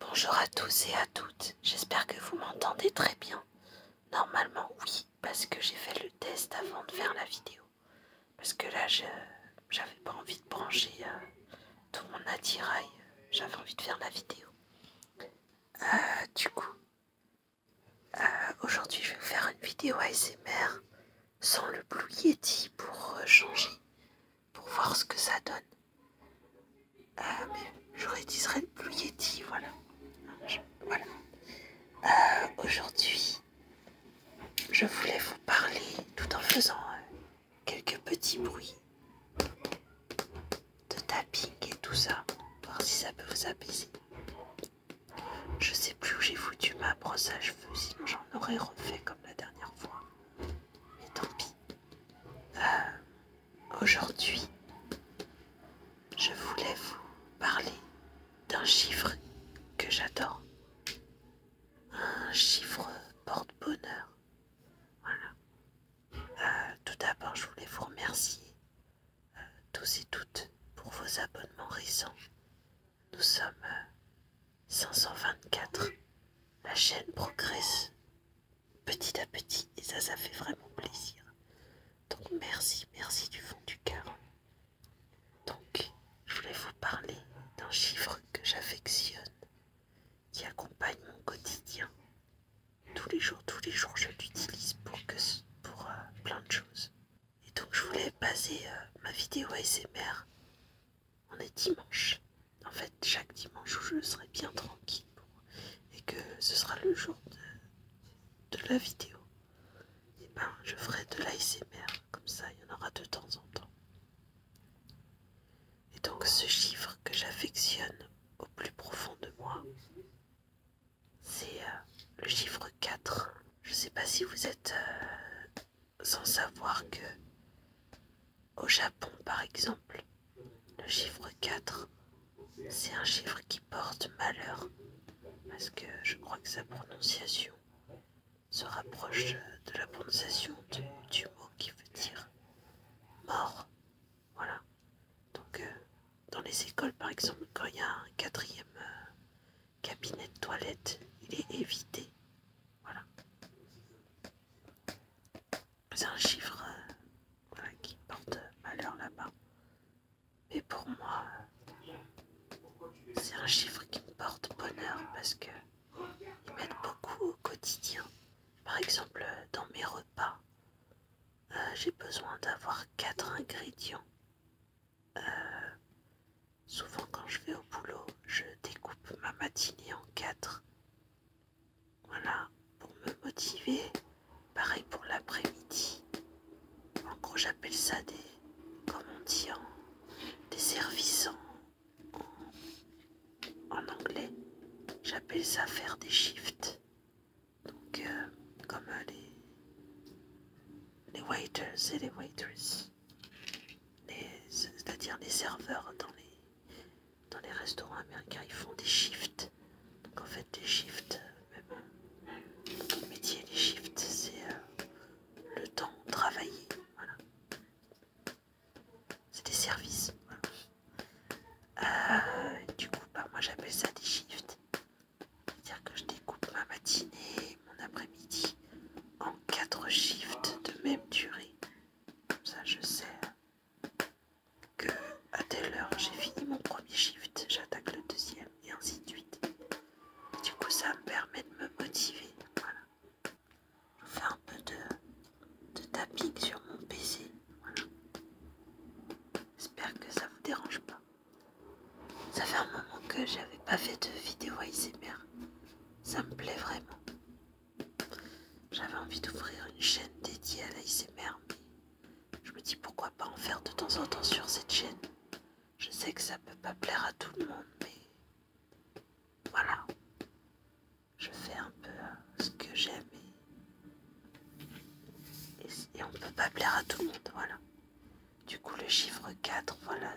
Bonjour à tous et à toutes, j'espère que vous m'entendez très bien. Normalement oui, parce que j'ai fait le test avant de faire la vidéo. Parce que là, j'avais pas envie de brancher euh, tout mon attirail, j'avais envie de faire la vidéo. Euh, du coup, euh, aujourd'hui je vais vous faire une vidéo ASMR sans le Blue Yeti pour changer pour voir ce que ça donne. ah mais j'aurais dit serait Blue Yeti, voilà. voilà. Euh, aujourd'hui, je voulais vous parler tout en faisant euh, quelques petits bruits de tapping et tout ça, voir si ça peut vous apaiser. Je sais plus où j'ai foutu ma brosse à cheveux, sinon j'en aurais refait comme la dernière fois. Mais tant pis. Euh, aujourd'hui, je voulais vous parler d'un chiffre que j'adore. Un chiffre porte-bonheur. Voilà. Euh, tout d'abord, je voulais vous remercier euh, tous et toutes pour vos abonnements récents. Nous sommes 524. La chaîne progresse petit à petit et ça, ça fait vraiment plaisir. Donc merci, merci du fond du cœur. Donc, je voulais vous parler d'un chiffre que j'affectionne, qui accompagne mon quotidien. Tous les jours, tous les jours, je l'utilise pour, que, pour euh, plein de choses. Et donc, je voulais baser euh, ma vidéo ASMR on est dimanche. En fait, chaque dimanche où je serai bien tranquille et que ce sera le jour de, la vidéo, et ben je ferai de l'ASMR, comme ça il y en aura de temps en temps. Et donc ce chiffre que j'affectionne au plus profond de moi, c'est euh, le chiffre 4. Je sais pas si vous êtes euh, sans savoir que, au Japon par exemple, le chiffre 4, c'est un chiffre qui porte malheur, parce que je crois que sa prononciation se rapproche de la prononciation du, mot qui veut dire mort. Voilà. Donc, euh, dans les écoles, par exemple, quand il y a un quatrième euh, cabinet de toilette, il est évité voilà. C'est un chiffre euh, qui porte malheur là-bas. Mais pour moi, c'est un chiffre qui porte bonheur parce que m'aide beaucoup au quotidien. Par exemple, dans mes repas, euh, j'ai besoin d'avoir quatre ingrédients. Euh, Souvent quand je vais au boulot, je découpe ma matinée en quatre. Voilà, pour me motiver. Pareil pour l'après-midi. En gros, j'appelle ça des, comme on dit, des services en, anglais. J'appelle ça faire des shifts. Donc, euh, comme euh, les, les waiters et les waitresses c'est-à-dire les serveurs dans les, dans les restaurants américains, ils font des shifts. Donc en fait, des shifts, euh, même le métier, les shifts, c'est euh, le temps travaillé. Voilà. C'est des services. ah du coup, bah, moi j'appelle ça des shifts. C'est-à-dire que je découpe ma matinée mon après-midi en quatre shifts de même durée. Comme ça, je sais que à telle heure j'ai fini mon premier shift, j'attaque le deuxième et ainsi de suite. Du coup, ça me permet de me motiver. Voilà. Je faire un peu de, de tapping sur mon PC. Voilà. J'espère que ça vous dérange pas. Ça fait un moment que j'avais pas fait de vidéo ASMR. Ça me plaît vraiment. J'avais envie d'ouvrir une chaîne dédiée à l'ASMR, mais je me dis pourquoi pas en faire de temps en temps sur cette chaîne. Je sais que ça peut pas plaire à tout le monde, mais voilà. Je fais un peu euh, ce que j'aime et... on ne on peut pas plaire à tout le monde, voilà. Du coup, le chiffre 4, voilà,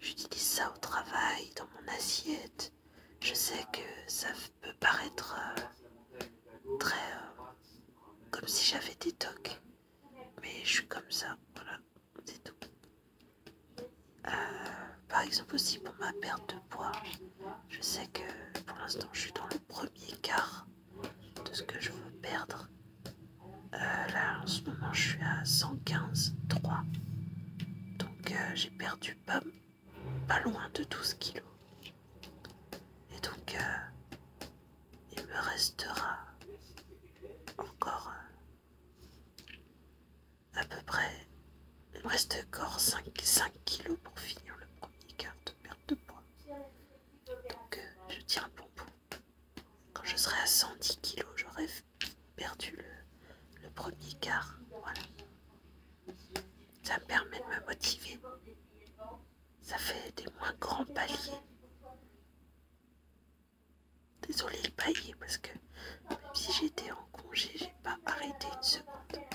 J'utilise ça au travail, dans mon assiette. Je sais que ça peut paraître euh, très... Euh, comme si j'avais des tocs. Mais je suis comme ça, voilà, c'est tout. Euh, par exemple aussi pour ma perte de poids, je sais que pour l'instant je suis dans le premier quart de ce que je veux perdre alors euh, là en ce moment je suis à 115, 3. Donc euh, j'ai perdu pas, pas loin de 12 kilos. Et donc euh, il me restera encore à peu près... Il me reste encore 5, 5 kilos pour finir le premier quart de perte de poids. Donc je tiens bon bout. Quand je serai à 110 kg j'aurais perdu le, premier quart. Voilà. Ça me permet de me motiver. Ça fait des moins grands paliers. désolé le palier parce que même si j'étais en congé, j'ai pas arrêté une seconde.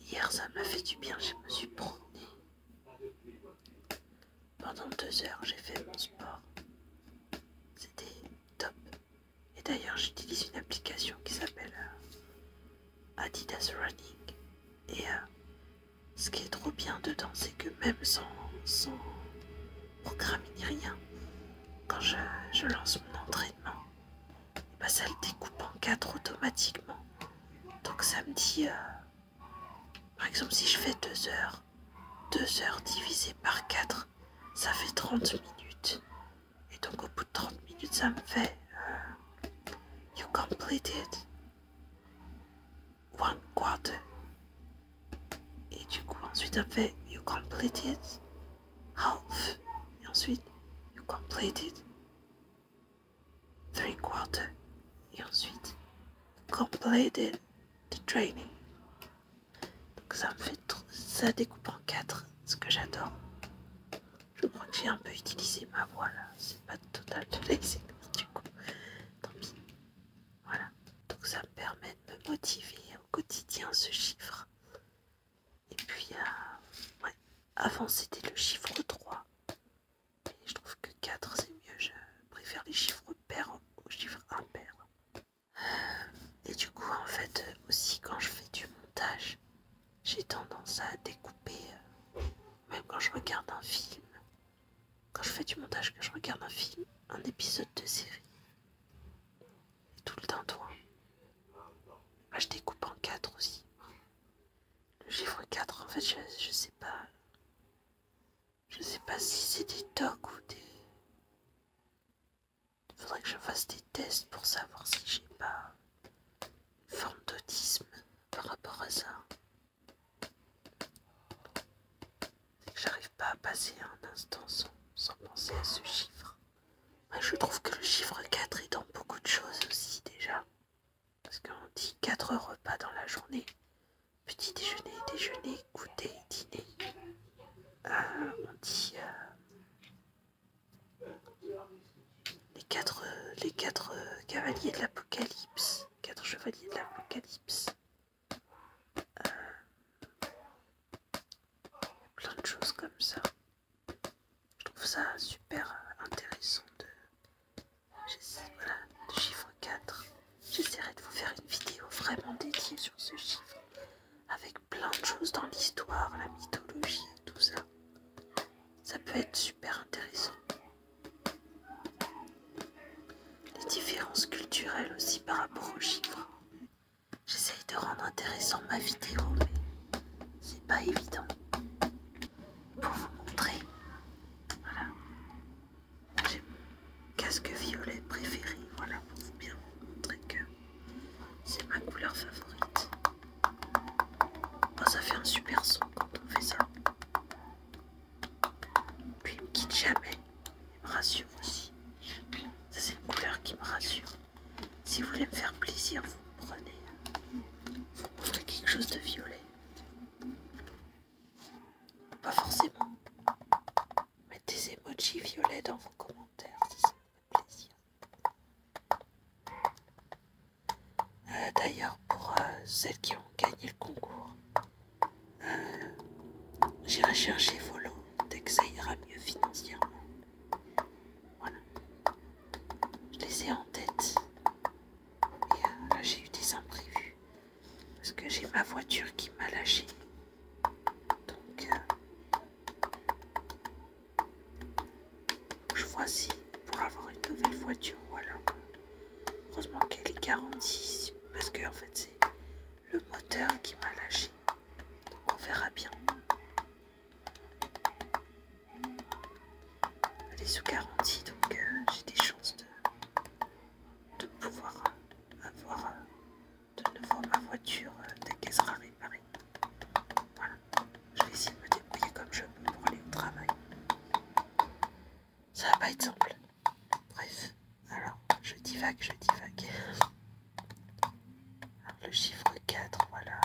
Hier, ça m'a fait du bien, je me suis promenée. Pendant deux heures, j'ai fait mon sport. C'était top. Et d'ailleurs, j'utilise une application qui s'appelle euh, Adidas Running. Et euh, ce qui est trop bien dedans, c'est que même sans, sans ni rien, quand je, lance mon entraînement, bah, ça le découpe en quatre automatiquement. Donc ça me dit euh, par exemple, si je fais 2 heures, 2 heures divisé par 4, ça fait 30 minutes. Et donc au bout de 30 minutes, ça me fait... Euh, you completed one quarter. Et du coup, ensuite, ça me fait You completed half. Et ensuite, You completed 3 quarters et ensuite completed the training. Donc ça me fait ça découpe en 4, ce que j'adore. Je crois que j'ai un peu utilisé ma voix là, c'est pas total de l'exercice du coup. Tant pis. Voilà. Donc ça me permet de me motiver au quotidien ce chiffre. Et puis y euh, a, ouais, avant le chiffre 3 je trouve que 4 c'est mieux, je préfère les chiffres pairs aux chiffres impairs. Et du coup, en fait, aussi quand je fais du montage, j'ai tendance à découper, euh, même quand je regarde un film, quand je fais du montage, que je regarde un film, un épisode de série, tout le temps, toi, ah, je découpe en 4 aussi. Le chiffre 4, en fait, je, sais pas. Je sais pas si c'est des tocs ou des. Il faudrait que je fasse des tests pour savoir si j'ai pas forme d'autisme par rapport à ça. J'arrive pas à passer un instant sans, penser à ce chiffre. je trouve que le chiffre 4 est dans beaucoup de choses aussi déjà parce qu'on dit quatre repas dans la journée petit déjeuner, déjeuner, goûter, dîner. Euh, on dit euh, les, quatre, les quatre cavaliers de l'Apocalypse, quatre chevaliers de l'Apocalypse. Euh, plein de choses comme ça je trouve ça super euh, intéressant de, voilà, le chiffre 4. J'essaierai de vous faire une vidéo vraiment dédiée sur ce chiffre, avec plein de choses dans l'histoire, la mythologie, tout ça. Ça peut être super intéressant. Les différences culturelles aussi par rapport au chiffre, J'essaye de rendre intéressant ma vidéo, mais c'est pas évident pour vous montrer. Voilà. J'ai mon casque violet préféré. Voilà, pour vous bien montrer que c'est ma couleur favorite. Oh, ça fait un super son quand on fait ça. Puis il me quitte jamais. Il me rassure aussi. Ça c'est une couleur qui me rassure. Si vous voulez me faire plaisir, vous prenez, vous prenez quelque chose de violet. Pas forcément. Mettez des emojis violets dans vos commentaires si ça vous fait plaisir. Euh, d'ailleurs, pour euh, celles qui ont gagné le concours, euh, j'irai chercher vos lots dès que ça ira mieux financièrement. Voilà. Je les ai en tête. Et euh, là, j'ai eu des imprévus. Parce que j'ai ma voiture qui m'a lâché. Donc, euh, je vois si pour avoir une nouvelle voiture, voilà. Heureusement qu'elle est garantie. Parce que, en fait, c'est le moteur qui m'a lâché. Donc, on verra bien. Elle est sous garantie, donc euh, j'ai des chances de, pouvoir euh, avoir euh, de nouveau ma voiture dès qu'elle sera réparée. Voilà, je vais essayer de me débrouiller comme je peux pour aller au travail. Ça va pas être simple. Bref, alors je divague, je divague le chiffre 4, voilà,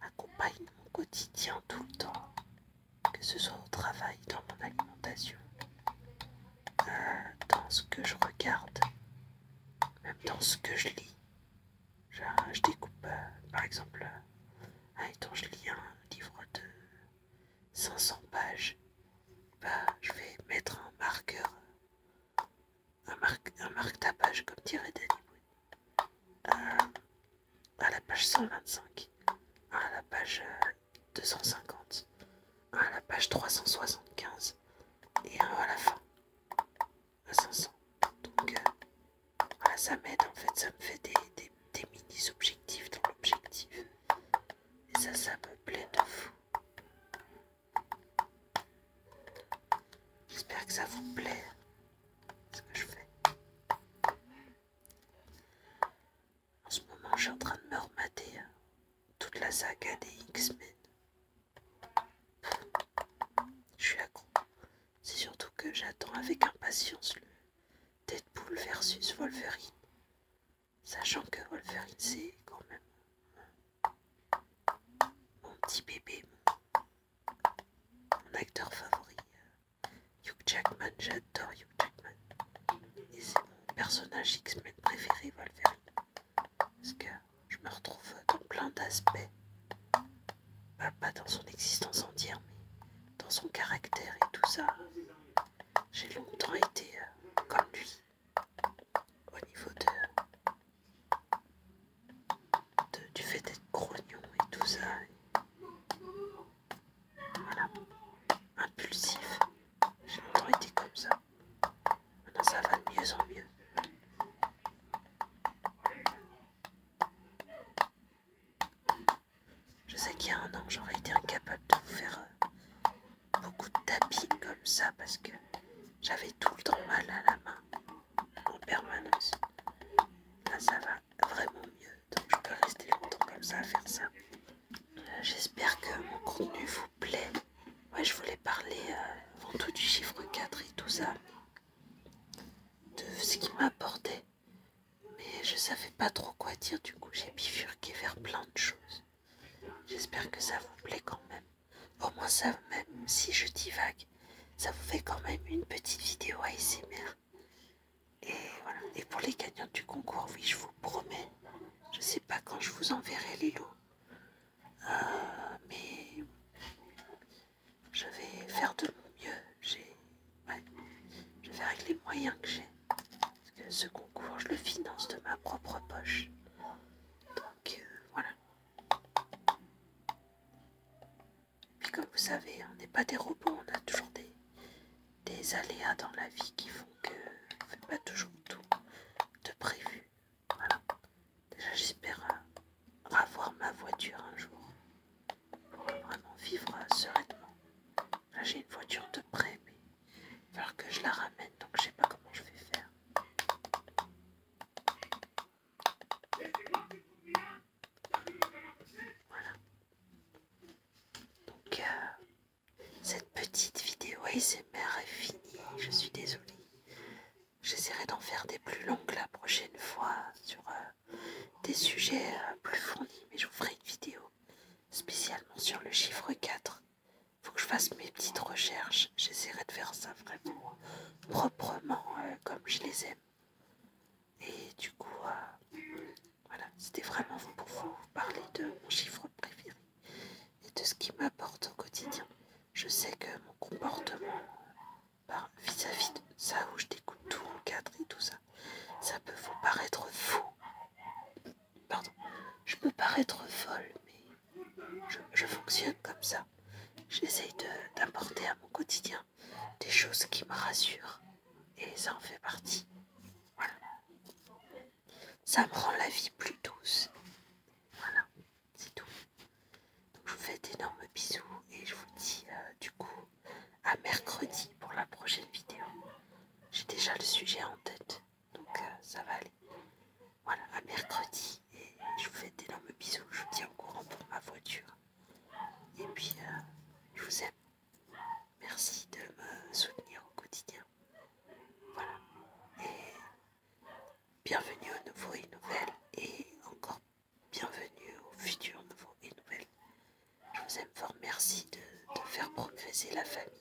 accompagne mon quotidien tout le temps, que ce soit au travail, dans mon alimentation, euh, dans ce que je regarde, même dans ce que je lis. Je, découpe, euh, par exemple, quand euh, je lis un livre de 500 pages, bah, je vais mettre un marqueur un marque-tapage, comme dirait Danny Boy euh, à la page 125, à la page 250, euh, à la page 375 et un à la fin, à 500. Donc, euh, ça m'aide en fait, ça me fait des, des mini-objectifs dans l'objectif. Et ça, ça me plaît de fou. J'espère que ça vous plaît ce que je fais. En ce moment, je suis en train de me remater hein, toute la saga des X-Men. Je suis accro. C'est surtout que j'attends avec impatience le Deadpool versus Wolverine. Sachant que Wolverine, c'est quand même mon petit bébé, mon acteur favori, euh, Hugh Jackman, j'adore Hugh Jackman. Et c'est mon personnage X-Men préféré, Wolverine. Parce que je me retrouve dans plein d'aspects. pas dans son existence entière, mais dans son caractère et tout ça. J'ai longtemps été euh, comme lui au niveau de, du fait d'être grognon et tout ça. Voilà, impulsif. J'ai longtemps été comme ça. Maintenant ça va de mieux en mieux. Je sais qu'il y a un an, j'aurais été incapable de vous faire euh, beaucoup de tapis comme ça parce que j'avais tout le temps mal à la main en permanence. Là ça va vraiment mieux, donc je peux rester longtemps comme ça à faire ça. Euh, j'espère que mon contenu vous plaît. moi je voulais parler euh, avant tout du chiffre 4 et tout ça, de ce qui m'apportait, mais je savais pas trop quoi dire, du coup j'ai bifurqué vers plein de choses. J'espère que ça vous plaît quand même. Au moins ça, même si je divague, ça vous fait quand même une petite vidéo ASMR. Et Et pour les gagnants du concours, oui, je vous promets, je sais pas quand je vous enverrai les lots. Euh, mais je vais faire de mon mieux. je vais faire avec les moyens que j'ai. Parce que ce concours, je le finance de ma propre poche. Donc euh, voilà. Puis comme vous savez, on n'est pas des robots, on a toujours des, aléas dans la vie qui font que ne fait pas toujours tout de prévu. Voilà. Déjà j'espère avoir euh, ma voiture un jour pour vraiment vivre sereinement. Là j'ai une voiture de près mais il va falloir que je la ramène donc je sais pas comment je vais faire. Donc, euh, cette petite vidéo ASMR est finie. Je suis désolée. J'essaierai d'en faire des plus longues la prochaine fois sur euh, des sujets euh, plus fournis, mais je vous ferai une vidéo spécialement sur le chiffre 4 faut que je fasse mes petites recherches. J'essaierai de faire ça vraiment euh, proprement euh, comme je les aime. Et du coup, euh, voilà, c'était vraiment pour vous parler de mon chiffre préféré et de ce qui m'apporte au quotidien. Je sais que mon comportement ben, vis-à-vis de ça où je découpe tout, cadre et tout ça, ça peut vous paraître fou, Pardon, je peux paraître folle, mais je, fonctionne comme ça. J'essaye d'apporter à mon quotidien des choses qui me rassurent. Et ça en fait partie. Voilà. Ça me rend la vie plus douce. Voilà, c'est tout. je vous fais d'énormes bisous et je vous dis euh, du coup à mercredi pour la prochaine vidéo. J'ai déjà le sujet en tête. Donc euh, ça va aller. Voilà, à mercredi. Et je vous fais d'énormes bisous. Je vous tiens au courant pour ma voiture. Et puis, euh, je vous aime. Merci de me soutenir au quotidien. Voilà. Et bienvenue aux nouveau et nouvelles. Et encore bienvenue aux futurs nouveaux et nouvelles. Je vous aime fort. Merci de, de faire progresser la famille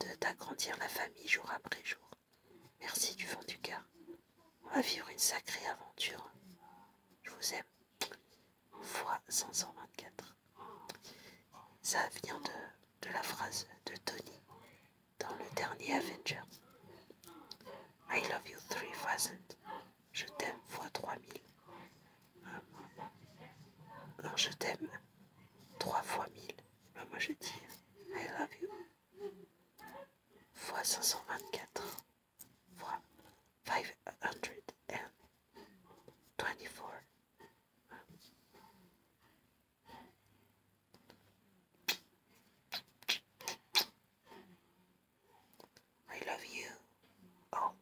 de t'agrandir la famille jour après jour. Merci du fond du cœur. On va vivre une sacrée aventure. Je vous aime. Fois 524. Ça vient de, la phrase de Tony dans le dernier Avenger. I love you 3000. Je t'aime fois 3000. Non je t'aime Trois fois mille, bah, moi je dis I love you. Fois 524, fois 524. I love you. Oh,